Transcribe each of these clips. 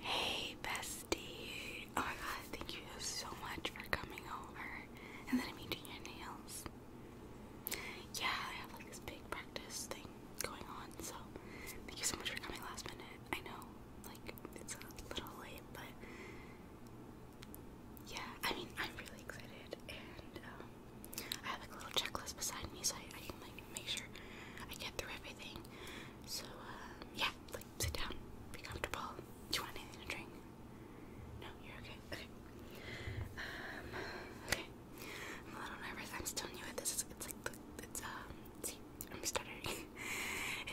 Hey bestie! Oh my god, thank you so much for coming over. And then I mean your nails. Yeah, I have like this big practice thing going on, so thank you so much for coming last minute. I know, like, it's a little late, but yeah, I mean, I'm really excited, and um, I have like a little checklist beside me so I can like make sure I get through everything. So, um, yeah, like sit down, be comfortable. Do you want anything to drink? No, you're okay. Okay. Um, okay. I'm a little nervous. I'm still new at this. It's like the, it's um. See, I'm stuttering.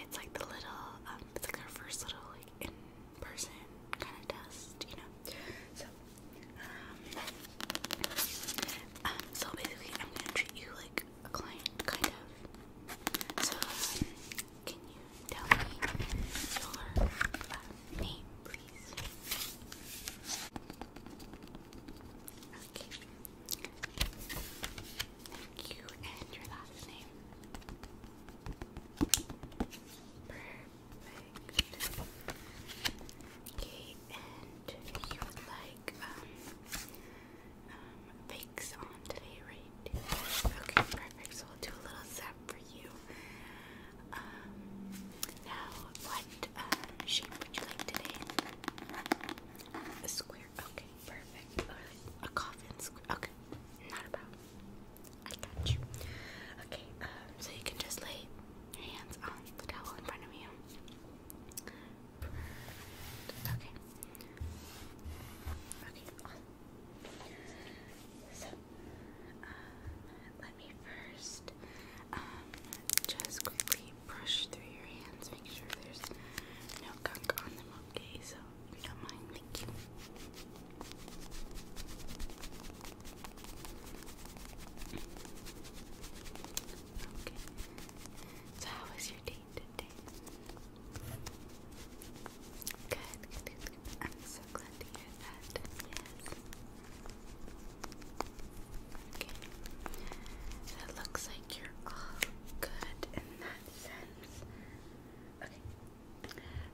it's like the little um. It's like our first little like in person kind of test, you know. So, um, um. So basically, I'm gonna treat you like a client, kind of. So, um, can you tell me your uh, name, please? Okay. Thank you, and your last name. Perfect. Okay, and you would like um, um, bakes on today, right? Okay, perfect. So we'll do a little zap for you. Um, now, what um, shape would you like today? A square. Okay, perfect. a coffin square. Okay, not about. I got you. Okay, um, so you can just lay your hands on the towel in front of you. Okay. Okay, So, uh, let me first um, just quickly brush through your hands, make sure there's no gunk on them, okay? So, don't mind, thank you. Okay. So how was your day good. I'm so glad to hear that. Yes. Okay. So it looks like you're all good in that sense. Okay.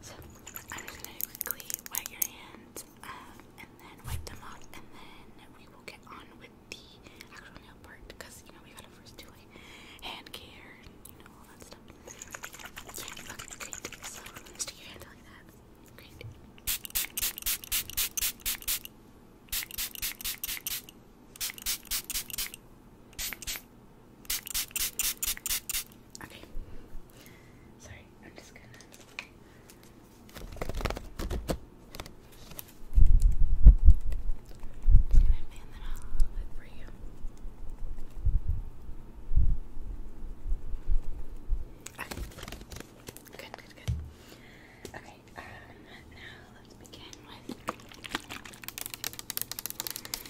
So I'm just gonna quickly wet your hands um, and then wipe them off, and then we will get on with with the actual nail part because you know we gotta first do like hand care you know all that stuff. Okay. Sorry, I'm just gonna just you. Okay. Good, good, good. Okay, um, now let's begin with.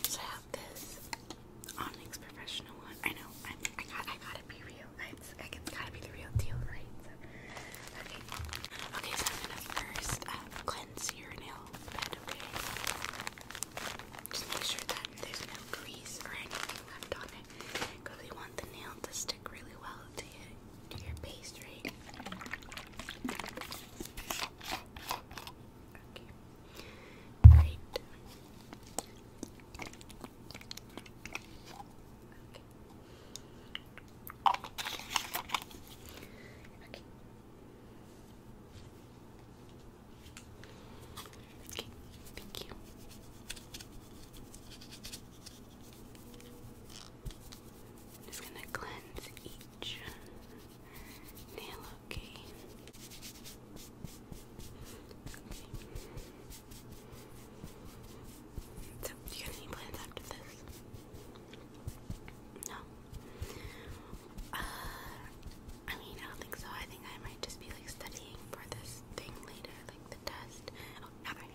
So I have this Onyx professional one. I know, i got, I gotta be real it's gotta be the real deal, right? okay. Okay, so I'm gonna first um, cleanse your nail okay? Just make sure that there's no grease or anything left on it. Because we want the nail to stick really well to your, to your right? Okay. Okay. Okay, thank you. just gonna cleanse each nail, Okay. So, do you have any plans after this? No. Uh, I mean, I don't think so. I think I might just be like studying for this thing later, like the test. Oh, not my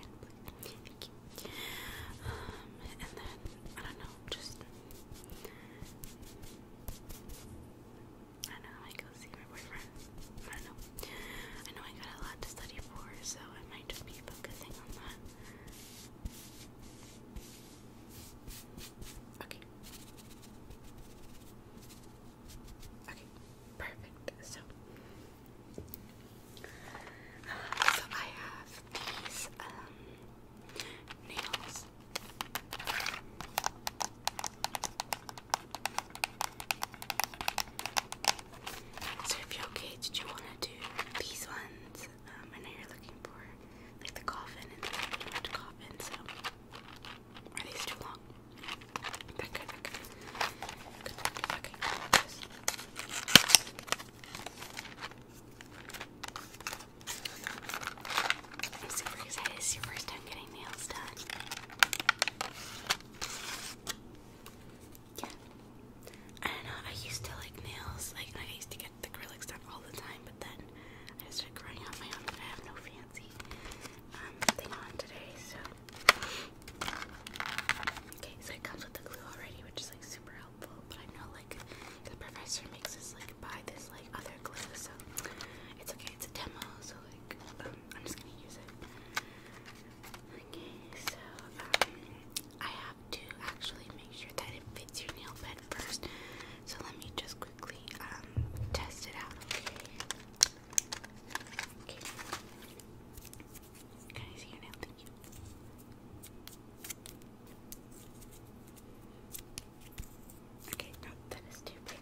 Thank you. Um, and then I don't know, just I know. I go see my boyfriend. I don't know. I know I got a lot to study for, so I might mind of Okay. Okay, perfect. So, I have these um, nails. So if you're okay, did you want to do these ones? Um, I know you're looking for like the coffin and the large coffin, so are these too long? That good, that okay, super excited. It's your first time getting nails done yeah. I don't know, I used to like nails, like I used to get the acrylics done all the time, but then I just started growing out my own, but I have no fancy um, thing on today, so. Okay, so it comes with the glue already, which is like super helpful, but I know like the professor makes us like buy this like other glue, so it's okay, it's a demo, so like um, I'm just gonna use it. Okay, so um, I have to actually make sure that it fits your nail bed first. So let me just quickly um, test it out. Okay. okay. Can I see your nail? Thank you. Okay, no, that is too big.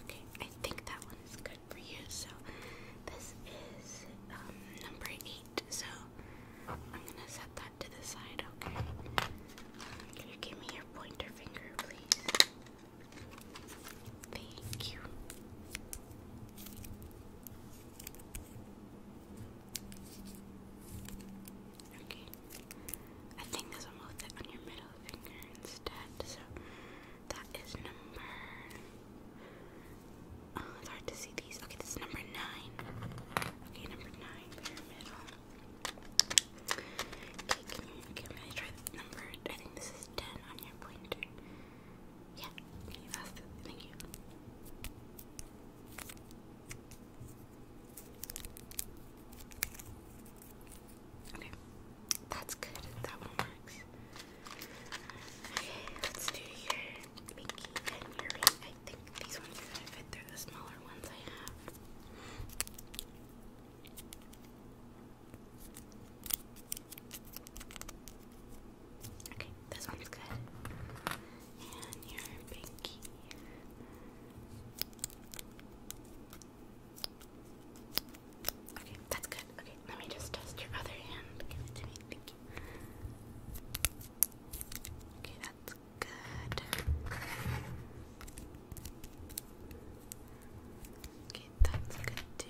Okay, I think that one is good for you. So this is um, number eight. So I'm gonna set that to the side. Okay. Can you give me your pointer finger, please? Thank you. Okay. I think this will move on your middle finger instead. So that is number. Oh, it's hard to see these. Okay, this is number nine. Okay, number nine, very middle. Okay, can you can I try the number? I think this is ten on your pointer. Yeah, that's it. Thank you. Okay, that's good. That one works. Okay, let's do your pinky and your I think these ones are gonna fit. they the smaller ones I have. Okay, this one's good. And your pinky. Okay, that's good. Okay, let me just test your other hand. Give it to me. Thank Okay, that's good. Okay, right, that's good too.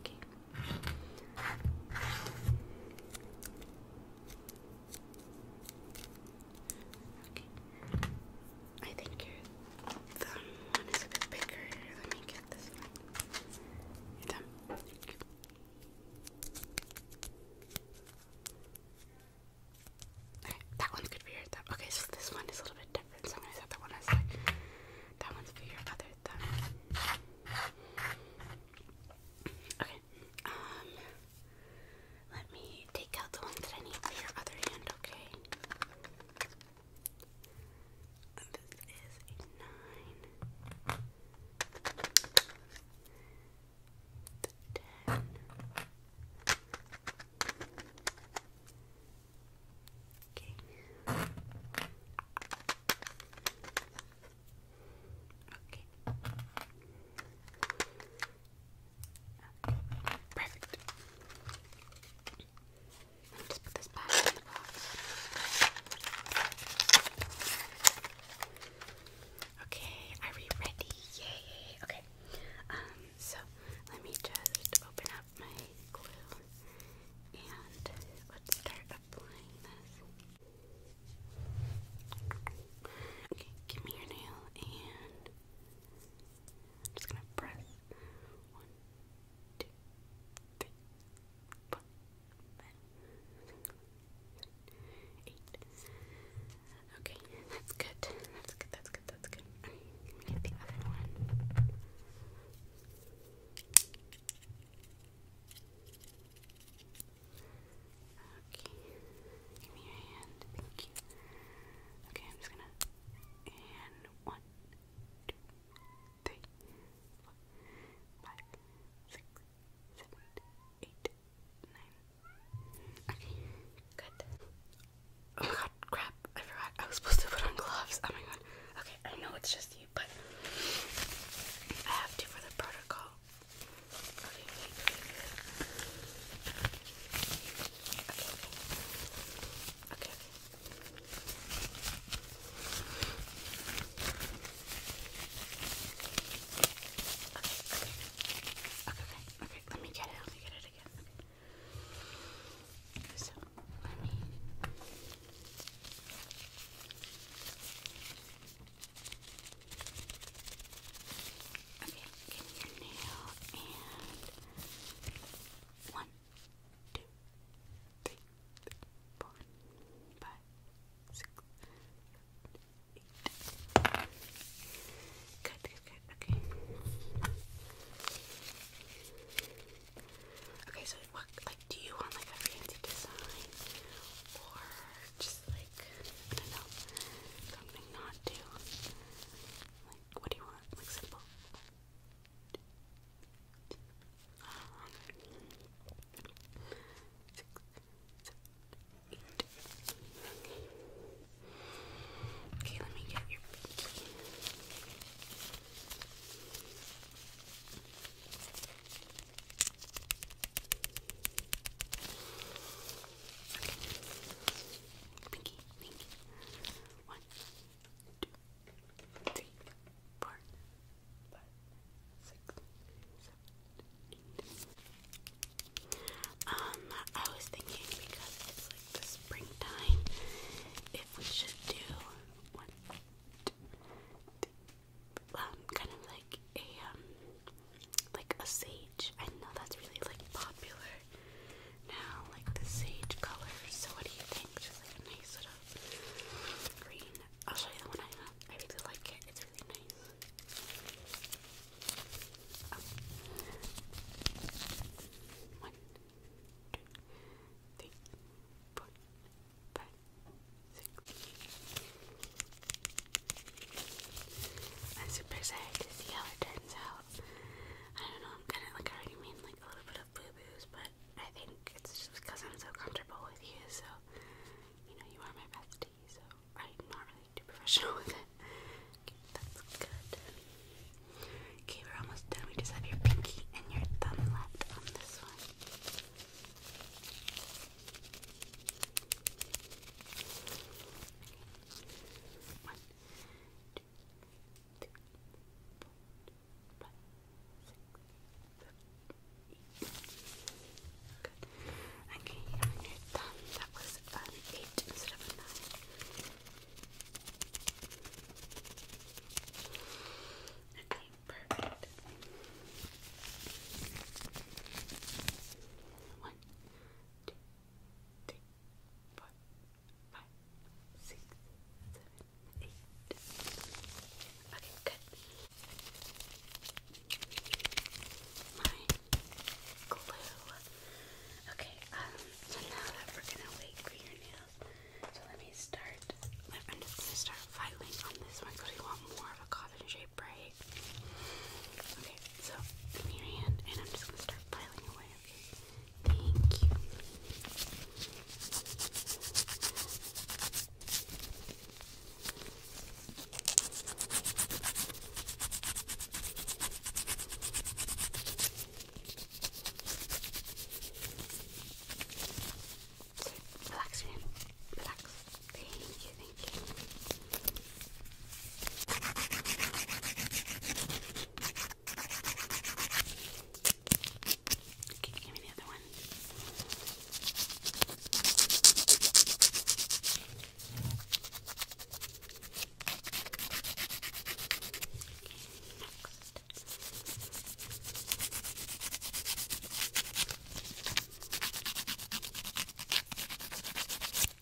Okay. Okay. I think your one is a bit bigger. let me get this one. Your thumb. Alright, that one's good for your thumb. Okay, so this one is a little bit different, so I'm gonna set that one aside. That one's for your other thumb. Okay, um, let me take out the ones that I need for your other hand, okay? This is a nine. Okay. Okay. Perfect. Let me just put this back the box. Okay, are we ready? Yay! Okay. Um, so let me just open up my glue and let's start applying this. Okay, give me your nail and I'm just gonna press one, two, three, four, five, six, Okay, that's good. That's good, that's good, that's good. let me get the other one. Okay, give me your hand. Thank you. Okay, I'm just gonna. one, two, three, four, five, six, seven, eight, nine. Okay, good. Oh my god, crap, I forgot. I was supposed to put on gloves. Oh my god. Okay, I know it's just you, but I have to for the protocol. Okay, okay. Okay, okay okay, okay, okay, let me get it, let me get it again. So, let me... Okay, give your nail, and... One, two, three, four, five, six, seven, Eight. Good, good, Okay. Okay, so what like do you want like a fancy design or just like I don't know something not too like what do you want? Like simple. Uh-huh. Six, eight. Okay, let me get your pinky. Pinky, pinky. One, two, three, um, I was thinking because it's like the springtime, if we should do one, um, kind of like a um, like a sage. I know that's really like popular now, like the sage color. So what do you think? Just like a nice little green I'll show you the one I have. I really like it. It's really nice. Oh. three, four, five, six. I'm super excited to see how it turns out. I don't know. I'm kind of like already made like a little bit of boo boos, but I think it's just because I'm so comfortable with you. So you know, you are my best sticky, so I'm not really too professional with it. that's good. Okay, we're almost done. We just have your pinky and your thumb left on this one. Okay. Good. Okay, on that was an 8 instead of a 9. Okay, perfect. One, two, three, four, five, six, seven, eight. Okay, good my glue. Okay, um, so now that we're gonna wait for your nails, so let me start. I'm just gonna start filing on this one because we want more of a coffin shape, right? Okay, so your hand, and I'm just gonna start filing away. Okay, thank you. So, relax, Thank you, thank you. give me the one one.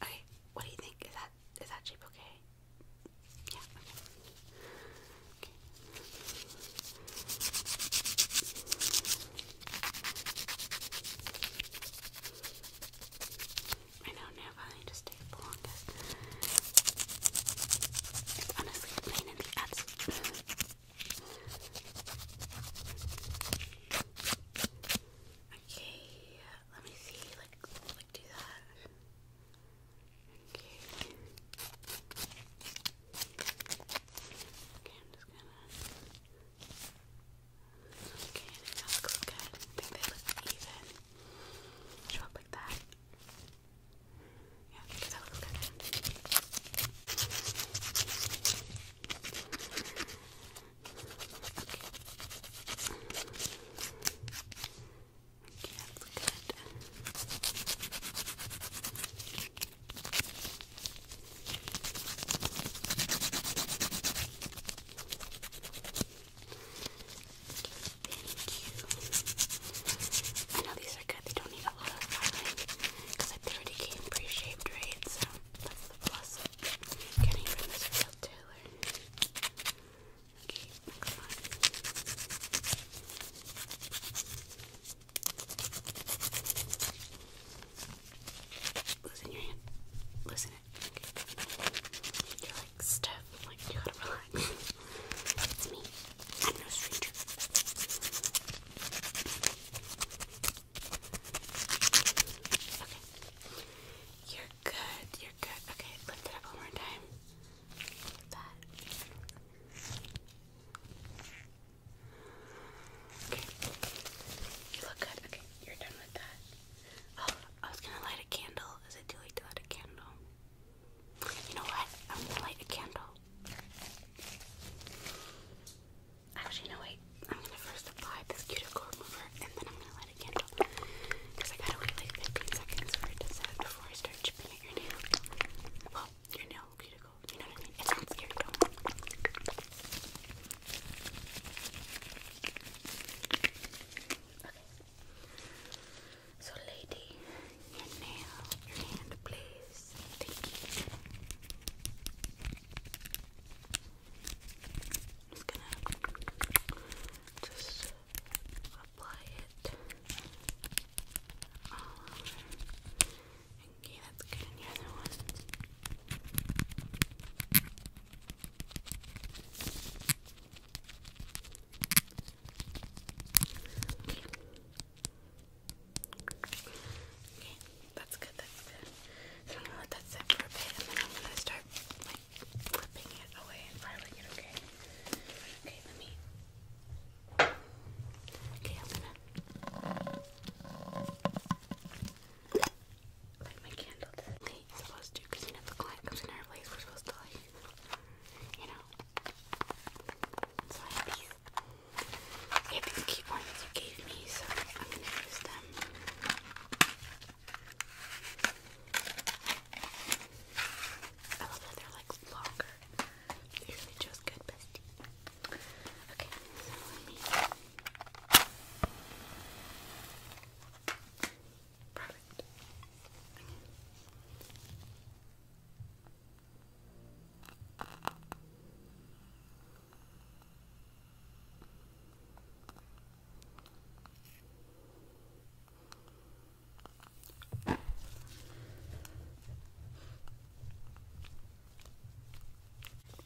Okay, what do you think? Is that is that shape okay? Yeah. okay. I know now probably just take longest. honestly the ass. okay, let me see, like, like do that. Okay. Okay, I'm just gonna. Okay, I think that looks good. I think they look even. Show up like that. Yeah, I think that looks good. Okay. Okay, that's good. I know these are good, they don't need a lot of filing because they already came pre shaped, right? So that's the plus of getting from this real tailor. Okay, Loosen your hand. Loosen it. Okay. You're like stiff. Like you gotta relax. it's me. I'm no stranger. Okay. You're good. You're good. Okay. Lift it up one more time. Like that. You look good. Okay, you're done with that. Oh, I was gonna light a candle. Is it too late to light a candle? You know what? I'm gonna light a candle. Actually, no, wait. I'm gonna first apply this cuticle remover and then I'm gonna light a candle. Because I got wait 15 seconds for it to set before I start chipping at your nail. Well, your nail cuticle. You know what I mean? It's not scary at all. So, lady, your nail, your hand, please. I'm just gonna just apply it all over. Okay, that's good. And the other one. Okay. that's good, that's good. So I'm gonna let that sit for a bit and then I'm gonna start flipping it away and filing it, okay? Okay, let me Okay, I'm gonna light my candle. Okay, are supposed to, you know the client comes in our place, we're supposed to like, you know. these, I ones you gave me, so I'm gonna use them. I love that they're like longer. You really good, bestie. Okay, Perfect.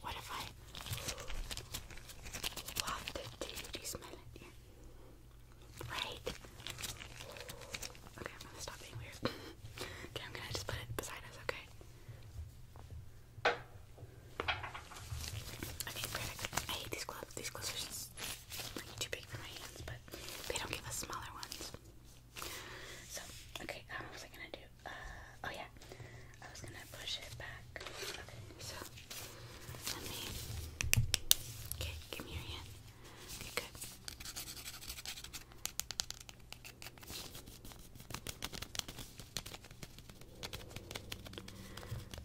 What if I wafted it Do you smell it? Right? Okay, I'm gonna stop being weird. okay, I'm gonna just put it beside us, okay? Okay, perfect. I hate these gloves. These gloves are just too big for my hands, but they don't give us smaller ones. So, okay, um, what was I gonna do? Uh, oh yeah, I was gonna push it back. Okay, so let me. Okay, give me your hand. Okay, good.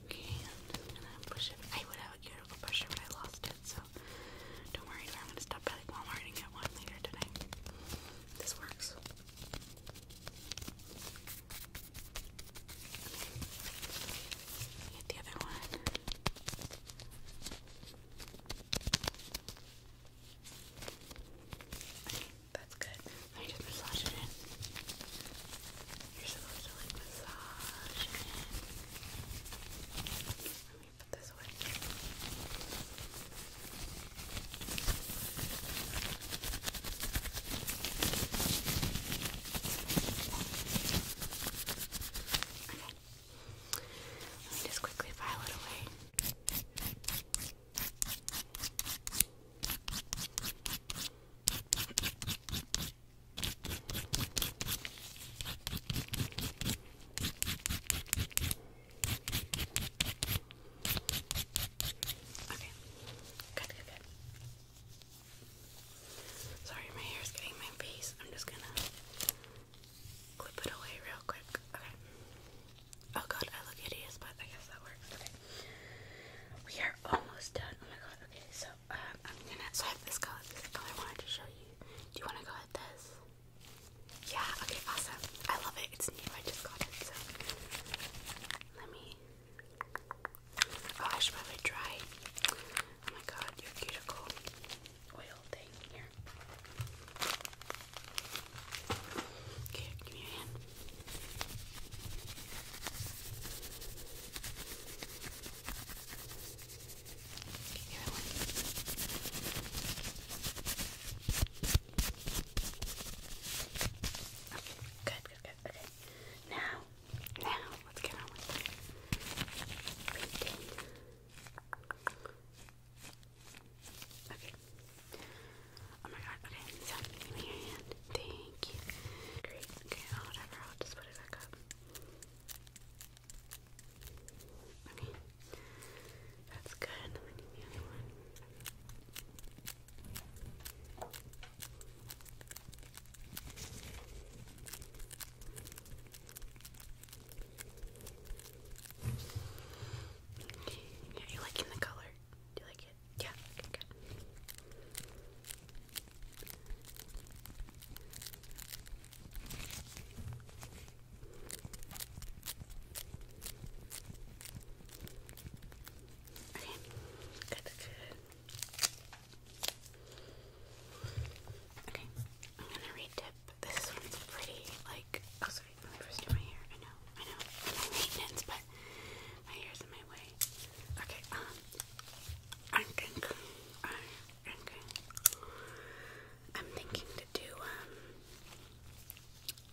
Okay, I'm just gonna push it. I would have a cuticle pusher, but I lost it, so don't worry, I'm gonna stop by like Walmart and get one later today. This works. Get the other one. Okay, that's good. Let just massage it in. You're supposed to like massage it in. This one. Okay. Let me just quickly file it away. Okay. Okay. Good, good, good. Sorry, my hair is getting my face. I'm just gonna clip it away real quick. Okay. Oh god, I look hideous, but I guess that works. Okay. We are almost done. Oh my god. Okay, so um, I'm gonna. So I have this color. This color I wanted to show you. Do you want to go with this? Yeah, okay, awesome. I love it. It's new. I just got it. So let me. Oh, I should probably try? Oh my god, your cuticle oil thing here. Okay, give me your hand good, good, good. Okay. Now, now, let's get on with it. Okay. Oh my god, okay, so give me your hand. Thank you. Great, okay, whatever, I'll just put it back up. Okay, that's good. Let you liking the color? Do you like it? Yeah, Okay, good, good. Okay, I'm gonna re This one's pretty, like, oh sorry, my hair. I know, I know, maintenance, but my hair's in my way. Okay, um, I'm gonna, uh, I'm thinking to do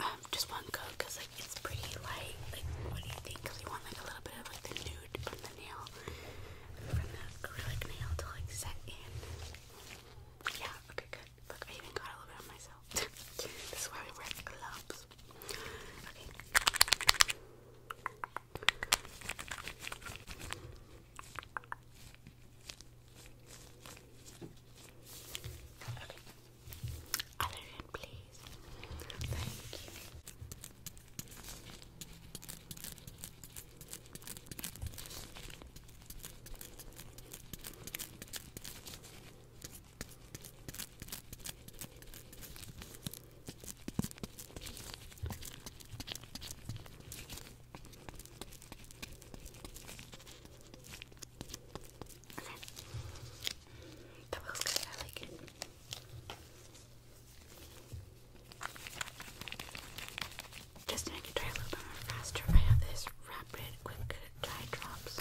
um, um just one coat because like it's pretty light. Like, what do you think? Because you want like a little bit of like the nude from the nail, from the acrylic nail to like set in. Yeah. Okay. Good. Look, I even got a little bit on myself. this is why we wear gloves. Okay. Other hand, please. Thank you. Okay. That was good. I like it. Just to make it dry a little bit faster, I have this rapid quick dry drops.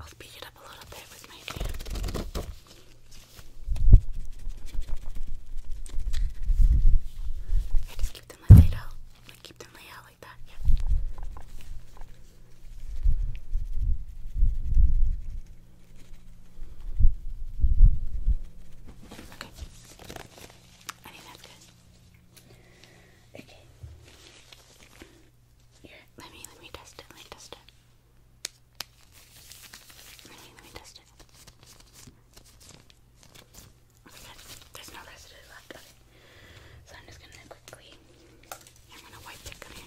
I'll speed it up a little bit with my hand. I just keep them laid out. Like keep them laid out like that. Okay. I think that's good. Okay let me let me test it. Let me test it. Let me let me test it. Okay, there's no residue left. Okay, so I'm just gonna quickly. I'm gonna wipe it. Okay.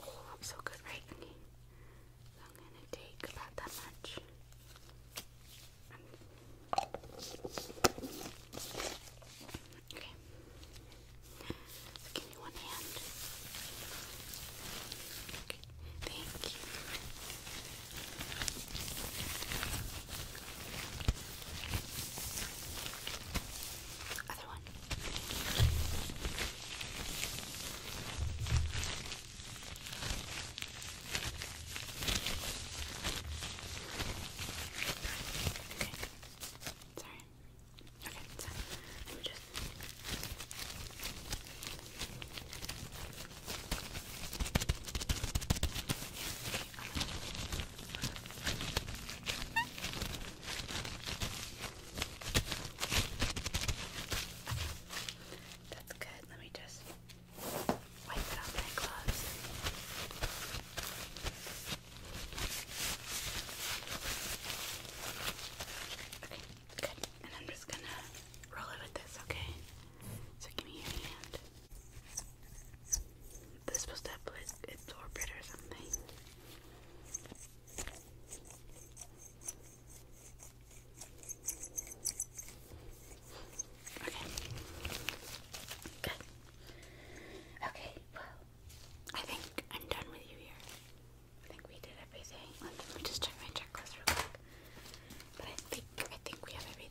Oh, so good, right? I'm gonna take about that much. Okay. So give me one hand. Okay. Thank you. Other one. Okay. Sorry. Okay, so let me just Okay, that's good. Let me just wipe it off my gloves. Okay, good. And I'm just gonna roll it with this, okay? So give me your hand. This supposed to absorb it or something. Okay. Good. Okay, well, I think I'm done with you here. I think we did everything. Let me just check my checklist real quick. But I think I think we have everything.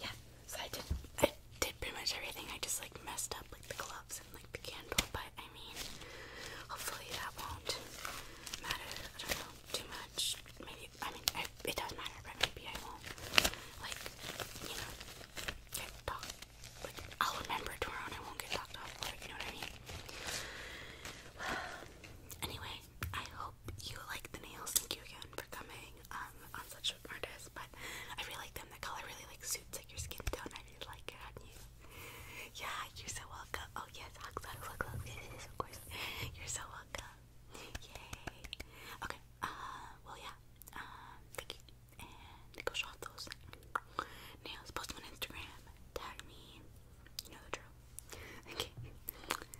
Yeah. So I did. I did pretty much everything. I just like messed up like the gloves and like the candle. But I mean, hopefully that won't matter. I don't know too much. Maybe I mean it does not matter, but maybe I won't. Like you know, get Like I'll remember tomorrow and I won't get talked off for it. You know what I mean? Anyway, I hope you like the nails. Thank you again for coming um, on such an artist, but I really like them. The color really like suits like your skin tone. I really like it on you. Yeah, you're so welcome. Oh yes, hugs, hugs, hugs, of course. You're so welcome. Yay. Okay. Uh, well, yeah. Um, thank you. And Nico shot those nails. Post them on Instagram. Tag me. You know the drill. Okay.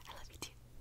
I love you too.